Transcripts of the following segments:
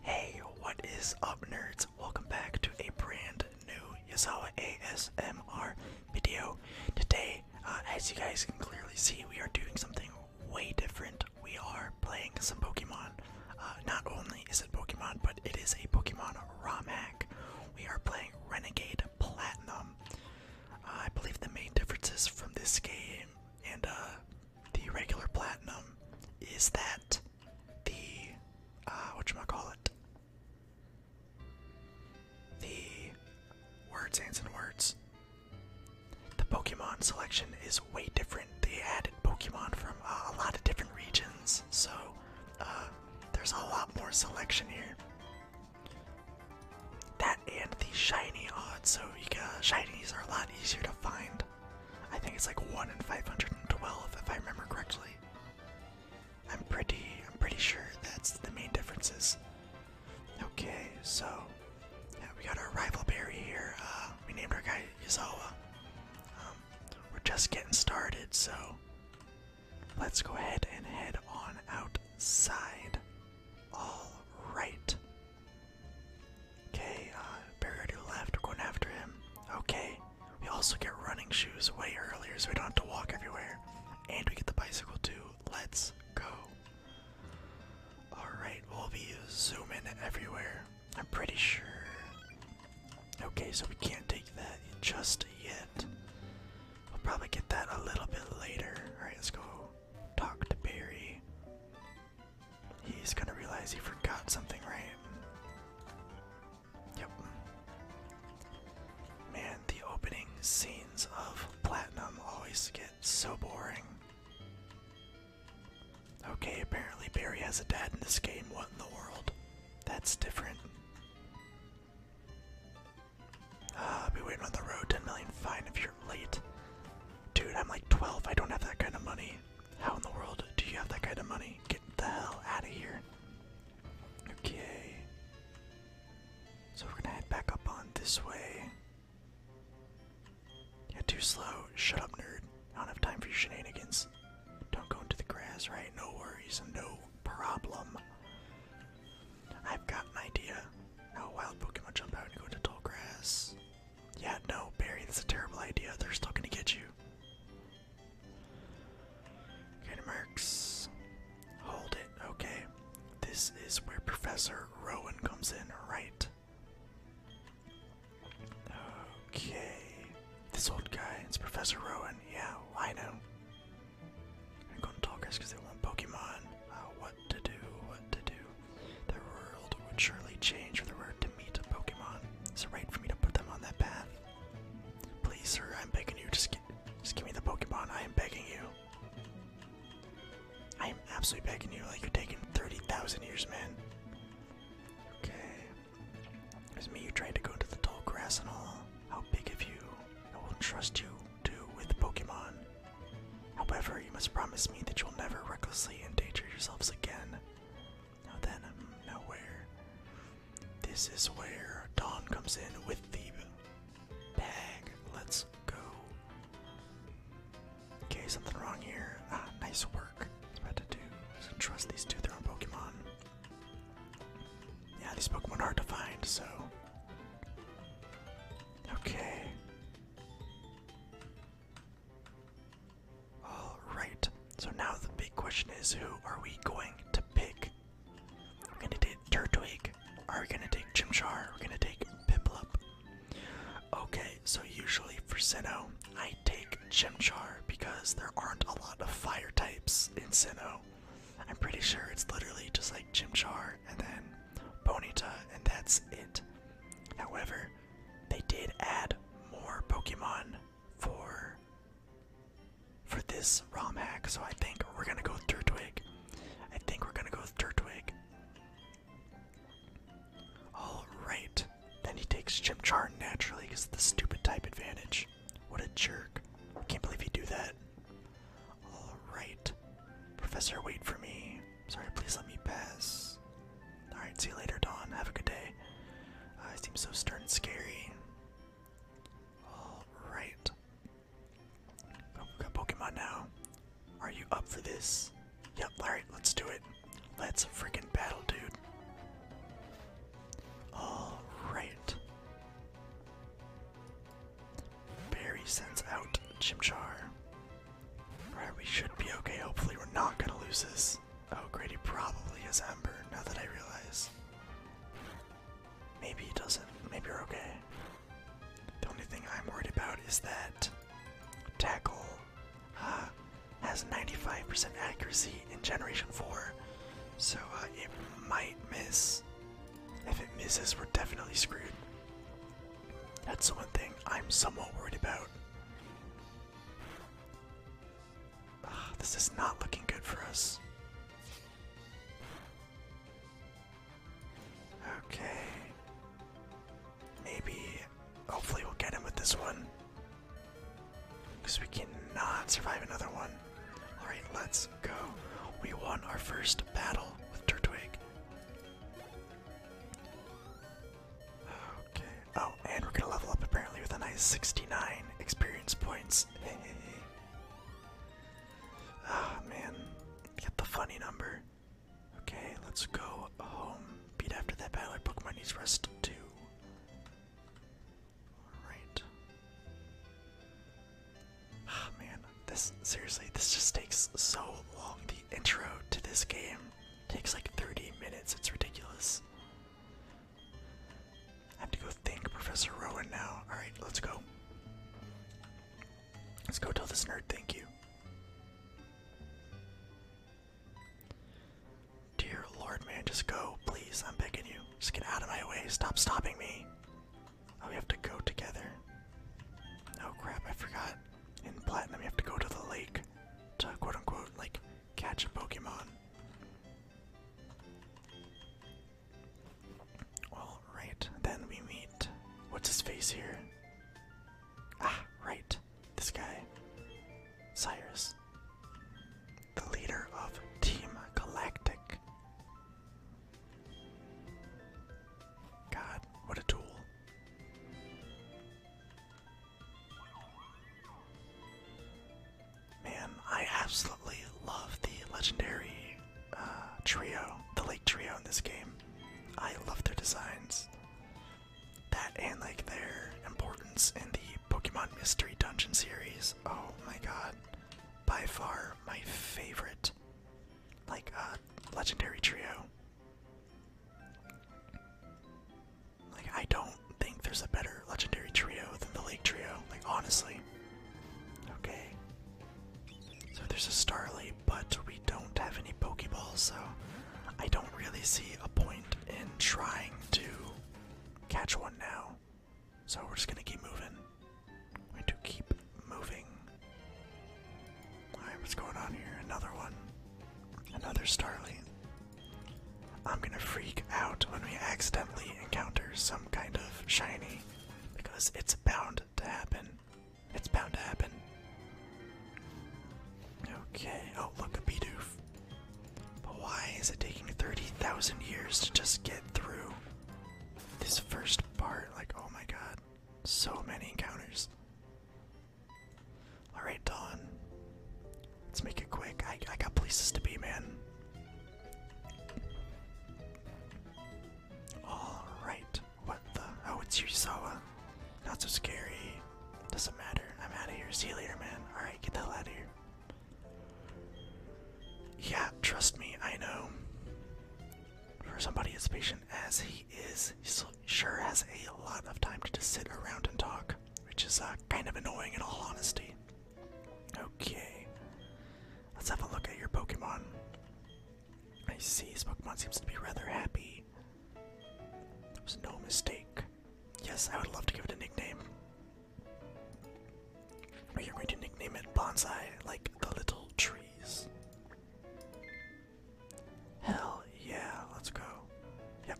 Hey, what is up, nerds? Welcome back to a brand new Yasawa ASMR video. Today, uh, as you guys can clearly see, we are doing something way different. We are playing some Pokemon. Uh, not only is it Pokemon, but it is a Pokemon ROM hack. We are playing Renegade Platinum. Uh, I believe the main differences from this game and uh, the regular platinum is that the uh whatchamacallit the words hands and words the pokemon selection is way different they added pokemon from uh, a lot of different regions so uh, there's a lot more selection here that and the shiny odds so you got shinies are a lot easier to find I think it's like 1 in 512 if I remember correctly. I'm pretty I'm pretty sure that's the main differences. Okay, so we got our rival berry here. Uh, we named our guy Yazawa. Um, we're just getting started, so let's go ahead and head on outside. All right. Okay, uh, to the left, we're going after him. Okay, we also get running shoes way earlier so we don't have to walk everywhere. And we get the bicycle too. Let's go. Alright, we'll be zooming everywhere. I'm pretty sure. Okay, so we can't take that just yet. We'll probably get that a little bit later. Alright, let's go talk to Barry. He's gonna realize he forgot something, right? Yep. Man, the opening scenes of Platinum always get so boring. Okay, apparently Barry has a dad in this game. What in the world? That's different. Ah, be waiting on the road. 10 million fine if you're late. Dude, I'm like 12. I don't have that kind of money. How in the world do you have that kind of money? Get the hell out of here. Okay. So we're gonna head back up on this way. too slow. Shut up, nerd. I don't have time for your shenanigans. Don't go into the grass, right? No worries, no problem. I've got an idea. a wild Pokemon jump out and go into tall grass. Yeah, no, Barry, that's a terrible idea. They're still gonna get you. Okay, Mercs. Hold it, okay. This is where Professor Rowan comes in, right? Okay. This old guy, it's Professor Rowan. Yeah, I know. I'm gonna talk us because they want Pokemon. Uh, what to do, what to do, the world would surely change for the word to meet a Pokemon. Is it right for me to put them on that path? Please, sir, I'm begging you. to just give me the Pokemon. I am begging you. I am absolutely begging you. Like you're taking thirty thousand years, man. Okay. It's me. You trying to go to the tall grass and all. How big of you? I will trust you to with the Pokemon. However, you must promise me that you'll never recklessly endanger yourselves again. Now then, I'm This is where Dawn comes in with the bag. Let's go. Okay, something wrong here. Ah, nice work. It's to do. trust these two, they're on Pokemon. Yeah, these Pokemon are hard to find, so. Okay. All right. So now the big question is, who are we going to pick? We're gonna take Turtwig. Are we gonna take Chimchar? We're gonna take Piplup. Okay, so usually for Sinnoh, I take Chimchar because there aren't a lot of fire types in Sinnoh. I'm pretty sure it's literally just like Chimchar and then Bonita, and that's it. However, they did add more Pokemon for for this ROM hack, so I think we're gonna go with Turtwig. I think we're gonna go with Turtwig. Alright. Then he takes Chimchar naturally because the stupid type advantage. What a jerk. I can't believe he do that. Alright. Professor, wait for me. Sorry, please let me pass. Alright, see you later, Dawn. Have a good day. Uh, I seem so stern and scary. Alright. Oh, got Pokemon now. Are you up for this? Yep, alright, let's do it. Let's freaking battle, dude. Alright. Barry sends out Chimchar. Alright, we should be okay. Hopefully we're not gonna lose this. Oh, Grady probably has Ember, now that I realize. Maybe he doesn't. Maybe we're okay. The only thing I'm worried about is that Tackle uh, has 95% accuracy in Generation 4, so uh, it might miss. If it misses, we're definitely screwed. That's the one thing I'm somewhat worried about. Ah, this is not looking good for us. Okay. Maybe, hopefully, we'll get him with this one. Because we cannot survive another one. Alright, let's go. We won our first battle with Turtwig. Okay. Oh, and we're gonna level up apparently with a nice 69 experience points. Ah man, get the funny number. Okay, let's go home. Beat after that battle. Pokemon needs rest too. Alright. Ah man, this seriously, this just takes so long intro to this game takes like 30 minutes. It's ridiculous. I have to go thank Professor Rowan now. Alright, let's go. Let's go tell this nerd thank you. Dear Lord, man, just go, please. I'm begging you. Just get out of my way. Stop stopping me. Oh, we have to go together. Oh crap, I forgot. In Platinum, you have to go to the lake to quote unquote like catch a Pokemon. All right, then we meet. What's his face here? Ah, right, this guy. Cyrus. The leader of Team Galactic. God, what a tool. Man, I absolutely love the legendary uh, trio, the lake trio in this game. I love their designs. That and like their importance in the Pokemon Mystery Dungeon series. Oh my god. By far my favorite like uh legendary trio. Like, I don't think there's a better legendary trio than the Lake Trio, like, honestly. Okay. So there's a Starly, but we don't have any Pokeballs, so I don't really see a point in trying to catch one now. So we're just gonna keep moving. We're going to keep moving. Alright, what's going on here? Another one. Another Starling. I'm gonna freak out when we accidentally encounter some kind of shiny because it's bound to happen. It's bound to happen. Okay, oh look, a Bidoof. But why is it taking 30,000 years to just get through this first part? Like, oh my god, so many encounters. Alright, Dawn. Let's make it quick. I, got places to be, man. Alright. What the? Oh, it's Yusawa. Not so scary. Doesn't matter. I'm out of here. See you later, man. Alright, get the hell out of here. Yeah, trust me, I know. For somebody as patient as he is, he's sure has a lot of time to just sit around and talk, which is uh, kind of annoying in all honesty. Okay, let's have a look at your Pokemon. I see this Pokemon seems to be rather happy. There was no mistake. Yes, I would love to give it a nickname. We are going to nickname it Bonsai, like the little trees. Hell yeah, let's go. Yep,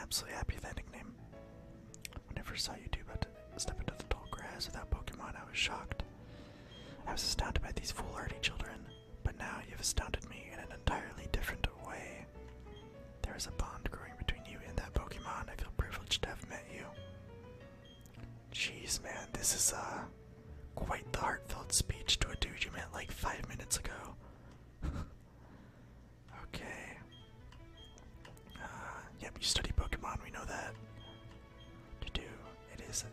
absolutely happy with that nickname. I never saw you do but step into the tall grass without Pokemon. I was shocked. I was astounded by these foolhardy children, but now you've astounded me in an entirely different way. There is a bond growing between you and that Pokemon. I feel privileged to have met you. Jeez, man, this is uh quite the heartfelt speech to a dude you met like five minutes ago. okay. Uh, yep, you study Pokemon, we know that. To do, it is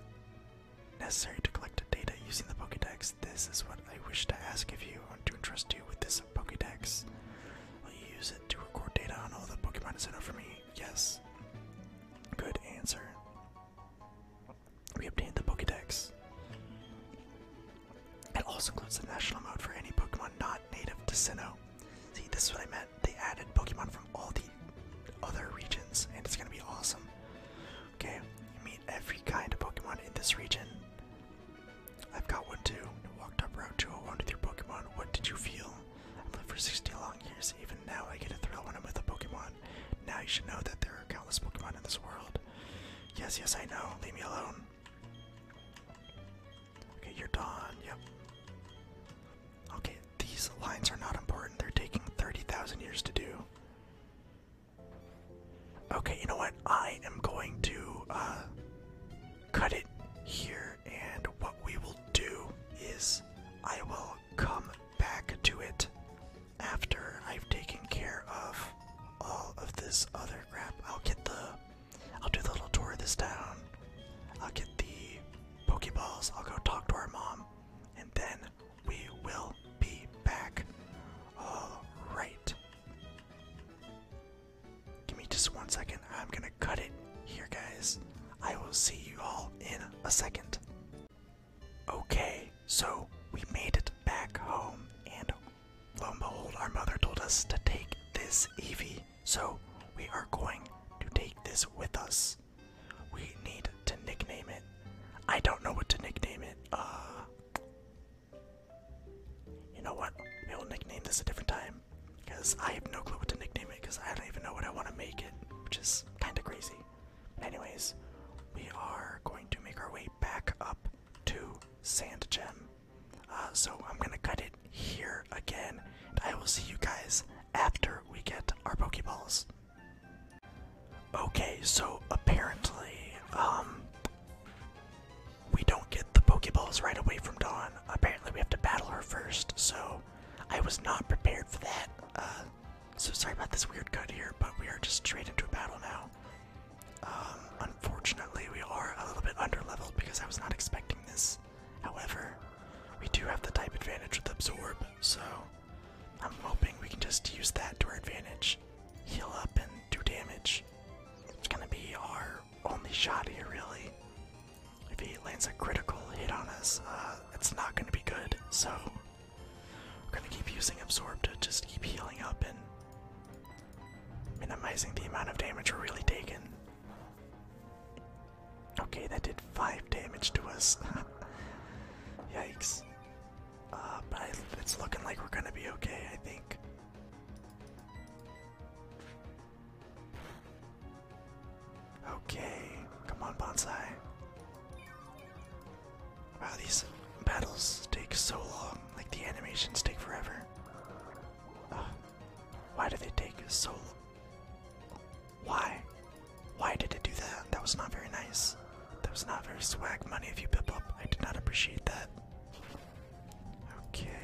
necessary to collect data using the Pokedex. This is what I wish to ask of you, I want to entrust you with this Pokedex. Will you use it to record data on all the Pokemon sent out for me? Yes. Good answer we obtained the Pokedex. It also includes the national mode for any Pokemon not native to Sinnoh. See, this is what I meant. They added Pokemon from all the other regions, and it's gonna be awesome. Okay, you meet every kind of Pokemon in this region. I've got one too. Walked up Route 201 with your Pokemon. What did you feel? I've lived for 60 long years. Even now, I get a thrill when I'm with a Pokemon. Now you should know that there are countless Pokemon in this world. Yes, yes, I know. Leave me alone. Okay, you're done. Yep. Okay, these lines are not important. They're taking 30,000 years to do. Okay, you know what? I am going to uh, cut it here, and what we will do is I will come back to it after I've taken care of all of this other crap. I'll get the. I'll do the little tour of this town. I'll get the Pokeballs. I'll go talk to our mom. And then we will be back. Alright. Give me just one second. I'm gonna cut it here, guys. I will see you all in a second. Okay, so we made it back home, and lo and behold, our mother told us to take this Eevee. So we are going to take this with us. We need to nickname it. I don't know what to nickname it. Uh, you know what? We'll nickname this a different time because I have no clue what to nickname it because I don't even know what I want to make it, which is kind of crazy. Anyways, we are going to make our way back up to Sand uh, so I'm gonna cut it here again, and I will see you guys after we get our Pokeballs. Okay, so apparently, um, we don't get the Pokeballs right away from Dawn. Apparently, we have to battle her first, so I was not prepared for that. Uh, so sorry about this weird cut here, but we are just straight into a battle now. Um, unfortunately, we are a little bit under leveled because I was not expecting this. However, we do have the type advantage with Absorb, so I'm hoping we can just use that to our advantage. Heal up and do damage. It's gonna be our only shot here, really. If he lands a critical hit on us, uh, it's not gonna be good, so we're gonna keep using absorb to just keep healing up and minimizing the amount of damage we're really taking. Okay, that did five damage to us. Yikes. Uh, but I, it's looking like we're gonna be okay, I think. Okay, come on, Bonsai. Wow, these battles take so long. Like the animations take forever. why do they take so long? Why? Why did it do that? That was not very nice. That was not very swag money if you pip up. I did not appreciate that. Okay.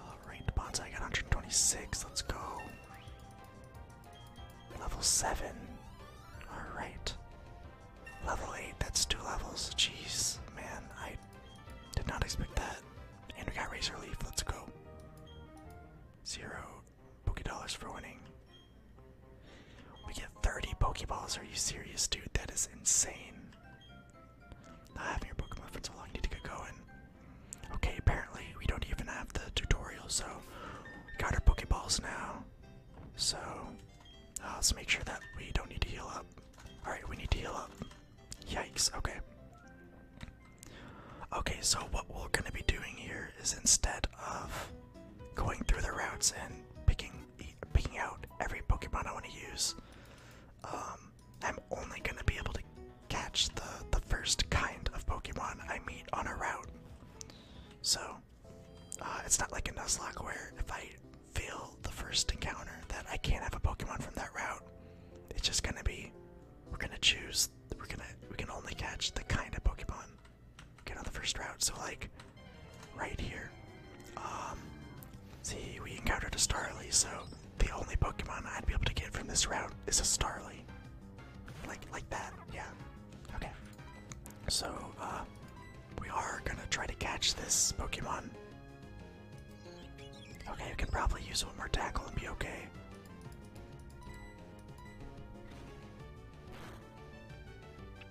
Alright, Bonsai got 126. Let's go. Level 7. Alright. Level 8, that's two levels. Jeez, man, I did not expect that. And we got Razor Leaf, let's go. Zero Poké Dollars for winning. We get 30 Pokeballs, are you serious, dude? That is insane. Not having your Pokemon for so long, need to get going. Okay, apparently we don't even have the tutorial, so we got our Pokeballs now. So uh, let's make sure that we don't need to heal up. Alright, we need to heal up. Yikes, okay. Okay, so what we're gonna be doing here is instead of going through the routes and picking picking out every Pokemon I want to use, um, I'm only gonna be able to catch the the first kind of Pokemon I meet on a route. So uh, it's not like a Nuzlocke where if I feel the first encounter that I can't have a Pokemon from that route. It's just gonna be we're gonna choose we're gonna we can only catch the kind of Pokemon get on the first route. So like right here. Um see we encountered a Starly, so the only Pokemon I'd be able to get from this route is a Starly. Like like that, yeah. Okay. So, uh, we are gonna try to catch this Pokemon. Okay, you can probably use one more tackle and be okay.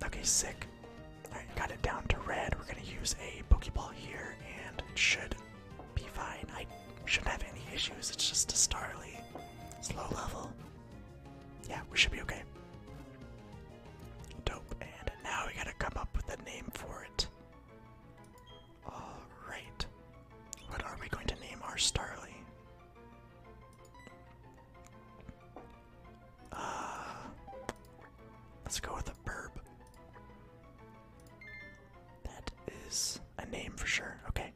Okay, sick. Alright, got it down to red. We're gonna use a Pokeball here, and it should be fine. I shouldn't have any issues, it's just a Starly. It's low level yeah, we should be okay. Dope. And now we gotta come up with a name for it. Alright. What are we going to name our Starly? Uh, let's go with a burb. That is a name for sure. Okay.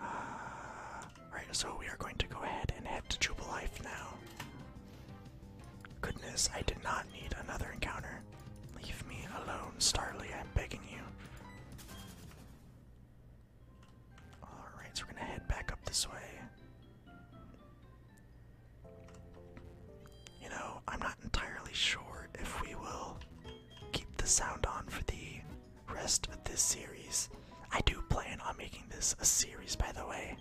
Ah, right, so we are going to go ahead and head to Jubilife now. Goodness, I did not need another encounter. Leave me alone, Starly, I'm begging you. Alright, so we're gonna head back up this way. You know, I'm not entirely sure if we will keep the sound on for the rest of this series. I do plan on making this a series, by the way.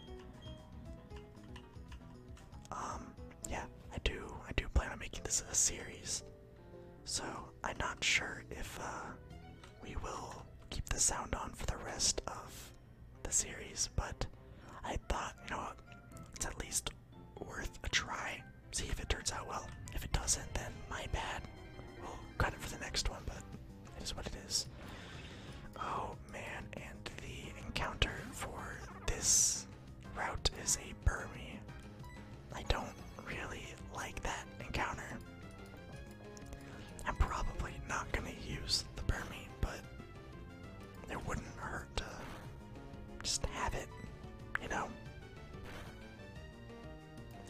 Um, yeah, I do. I do plan on making this a series. So I'm not sure if uh, we will keep the sound on for the rest of the series, but I thought, you know it's at least worth a try. See if it turns out well. If it doesn't, then my bad. Oh, got for the next one, but it is what it is. Oh man, and the encounter for this route is a Burmy. I don't really like that encounter. I'm probably not gonna use the Burmy, but it wouldn't hurt to just have it, you know?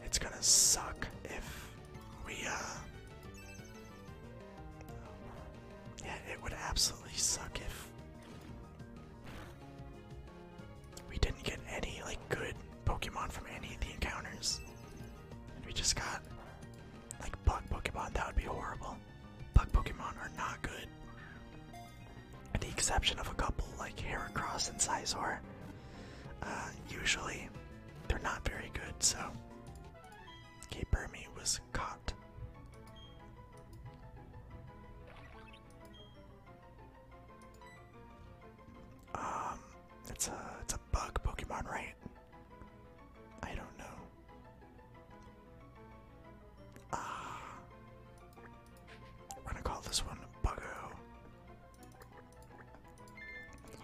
It's gonna suck if we, uh. Yeah, it would absolutely suck if we didn't get any, like, good Pokemon from any of the encounters. And we just got, like, bug Pokemon. That would be horrible. Bug Pokemon are not good. at the exception of a couple, like Heracross and Scizor, uh, usually, they're not very good, so. Okay, Burmy was caught. Um, it's a it's a bug Pokemon, right? I don't know. Ah, we're gonna call this one Buggo.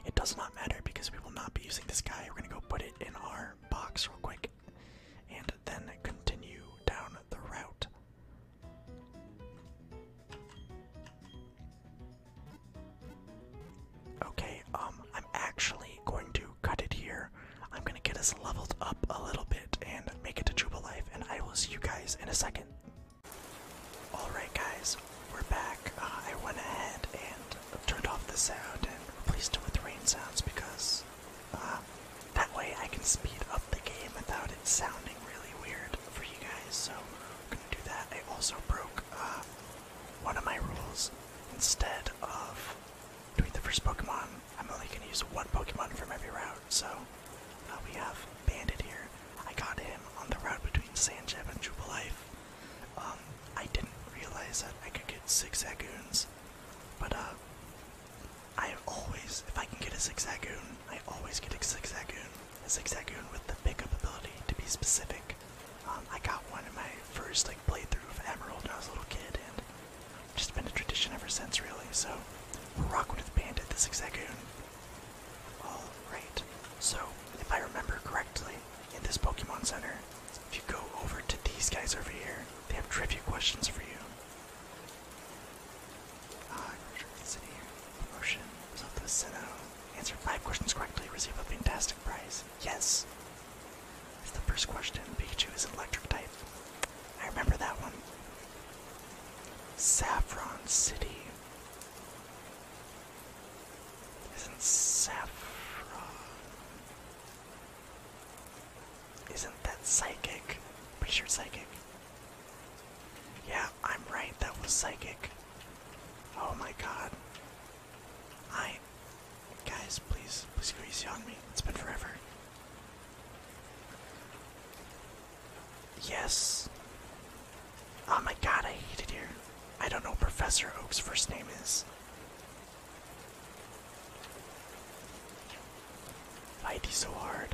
It does not matter because we will not be using this guy. We're going to go put it in our box real quick and then continue down the route. Okay, um, I'm actually going to cut it here. I'm going to get us leveled up a little bit and make it to Jubilife, and I will see you guys in a second. Alright guys, we're back. Uh, I went ahead and turned off the sound and replaced it with rain sounds because uh, that way I can speed up the game without it sounding really weird for you guys. So we're gonna do that. I also broke uh, one of my rules. Instead of doing the first Pokemon, I'm only gonna use one Pokemon from every route. So we have Bandit here. I got him on the route between Sanjeb and Jubilife. Um, I didn't realize that I could get six Zagoons, but uh, I always, if I can get a six Zagoon, I always get a six Zagoon. A six Zagoon with the pickup ability, to be specific. Um, I got one in my first like playthrough of Emerald when I was a little kid, and just been a tradition ever since, really. So, rock with Bandit, the six Zagoon. Alright, so if I remember correctly, in this Pokemon Center, if you go over to these guys over here, they have trivia questions for you. Ah, uh, City, promotion, result Sinnoh. Answer five questions correctly, receive a fantastic prize. Yes! It's the first question. Pikachu is electric type. I remember that one. Saffron City. Isn't Saffron. Isn't that psychic? Pretty sure it's psychic. Yeah, I'm right, that was psychic. Oh my god. I. Guys, please, please go on me. It's been forever. Yes. Oh my god, I hate it here. I don't know what Professor Oak's first name is. Why'd he so hard?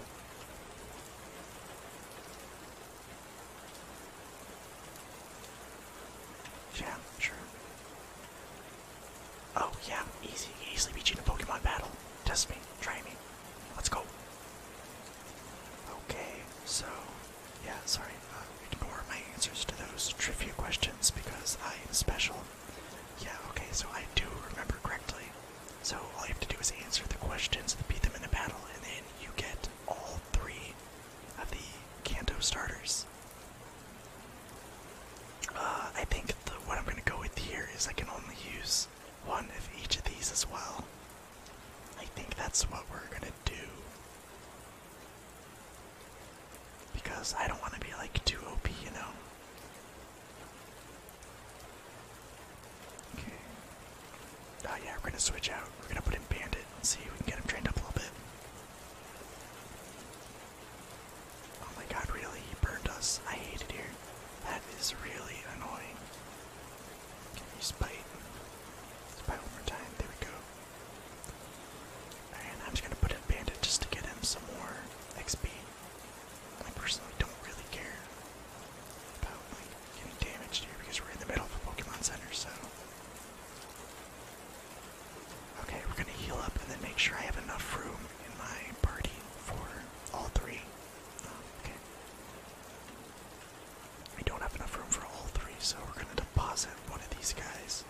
Yeah, sure. Oh yeah, easy. Easily beat you in a Pokemon battle. Test me, try me. Let's go. Okay, so yeah, sorry. Uh, ignore my answers to those trivia questions because I am special. Yeah, okay, so I do remember correctly. So all you have to do is answer the questions, beat them in a battle, and then you get all three of the Kanto starters. Uh, I think the, what I'm going to go with here is I can only use one of each of these as well. I think that's what we're gonna do. Because I don't want to be like too OP, you know? Okay. Oh yeah, we're gonna switch out. We're gonna put in Bandit see if we can get him trained up a little bit. Oh my god, really? He burned us. I hate it here. That is really annoying. Can you spite? Spite one more time. There we go. And I'm just gonna put a bandage just to get him some more XP. I personally don't really care about getting damaged here because we're in the middle of a Pokemon Center, so. Okay, we're gonna heal up and then make sure I have enough room in my party for all three. Um, okay. We don't have enough room for all three, so we're gonna deposit one of these guys.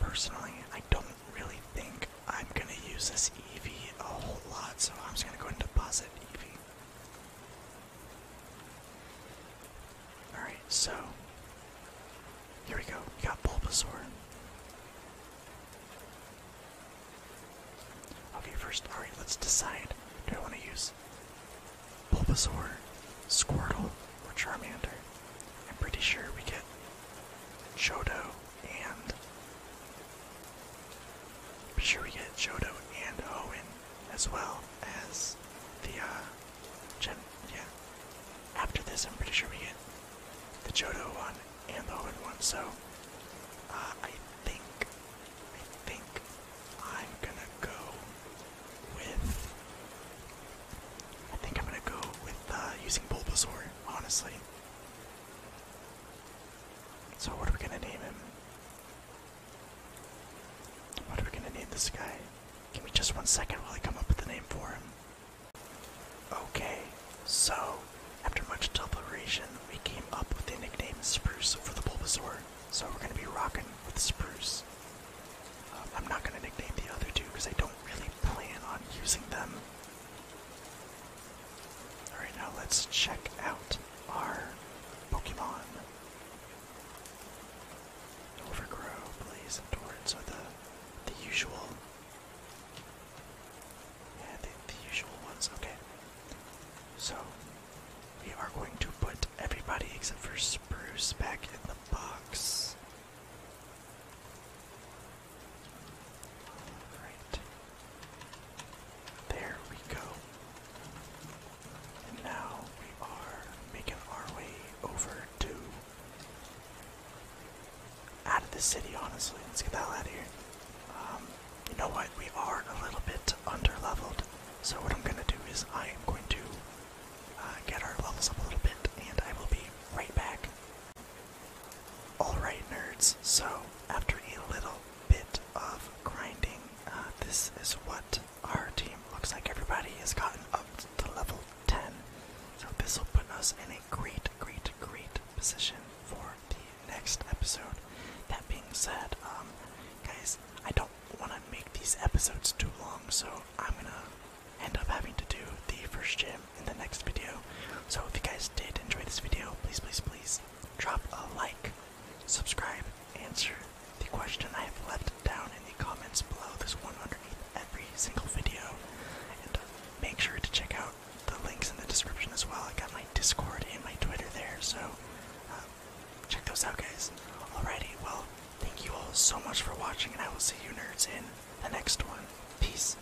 Personally, I don't really think I'm gonna use this EV a whole lot, so I'm just gonna go ahead and deposit EV. Alright, so here we go. got Bulbasaur. Okay, first, alright, let's decide. Do I want to use Bulbasaur, Squirtle, or Charmander? I'm pretty sure we get Jodo and. I'm sure we get Jodo and Owen as well as the, uh, Gen. Yeah. After this, I'm pretty sure we get the Jodo one and the Owen one, so. Uh, I think I think I'm gonna go with. I think I'm gonna go with uh, using Bulbasaur, honestly. So, what are we gonna name him? What are we gonna name this guy? Give me just one second while I come up with the name for him. Okay, so after much deliberation, we came up with the nickname Spruce for the Bulbasaur, so we're gonna be rocking with Spruce. Um, I'm not gonna nickname the other two because I don't really plan on using them. Alright, now let's check out our Pokemon. Overgrow, Blaze, and Torrent, so the, the usual. Yeah, the, usual ones, okay. So, we are going to put everybody except for Spruce back in the box. Right. There we go. And now we are making our way over to out of the city honestly. Let's get the hell out of here. Um, you know what? We are a little bit under-leveled, so what I'm going to do is I am going to uh, get our levels up a little bit, and I will be right back. Alright, nerds, so after a little bit of grinding, uh, this is what our team looks like. Everybody has gotten up to level 10, so this will put us in a great, great, great position for the next episode. That being said, um, guys, I don't want to make these episodes too long, so I'm gonna end up having to do the first gym in the next video. So if you guys did enjoy this video, please, please, please drop a like, subscribe, answer the question I have left down in the comments below this one underneath every single video, and make sure to check out the links in the description as well. I got my Discord and my Twitter there, so um, check those out, guys. Alrighty, well, thank you all so much for watching, and I will see you nerds in the next one. Peace.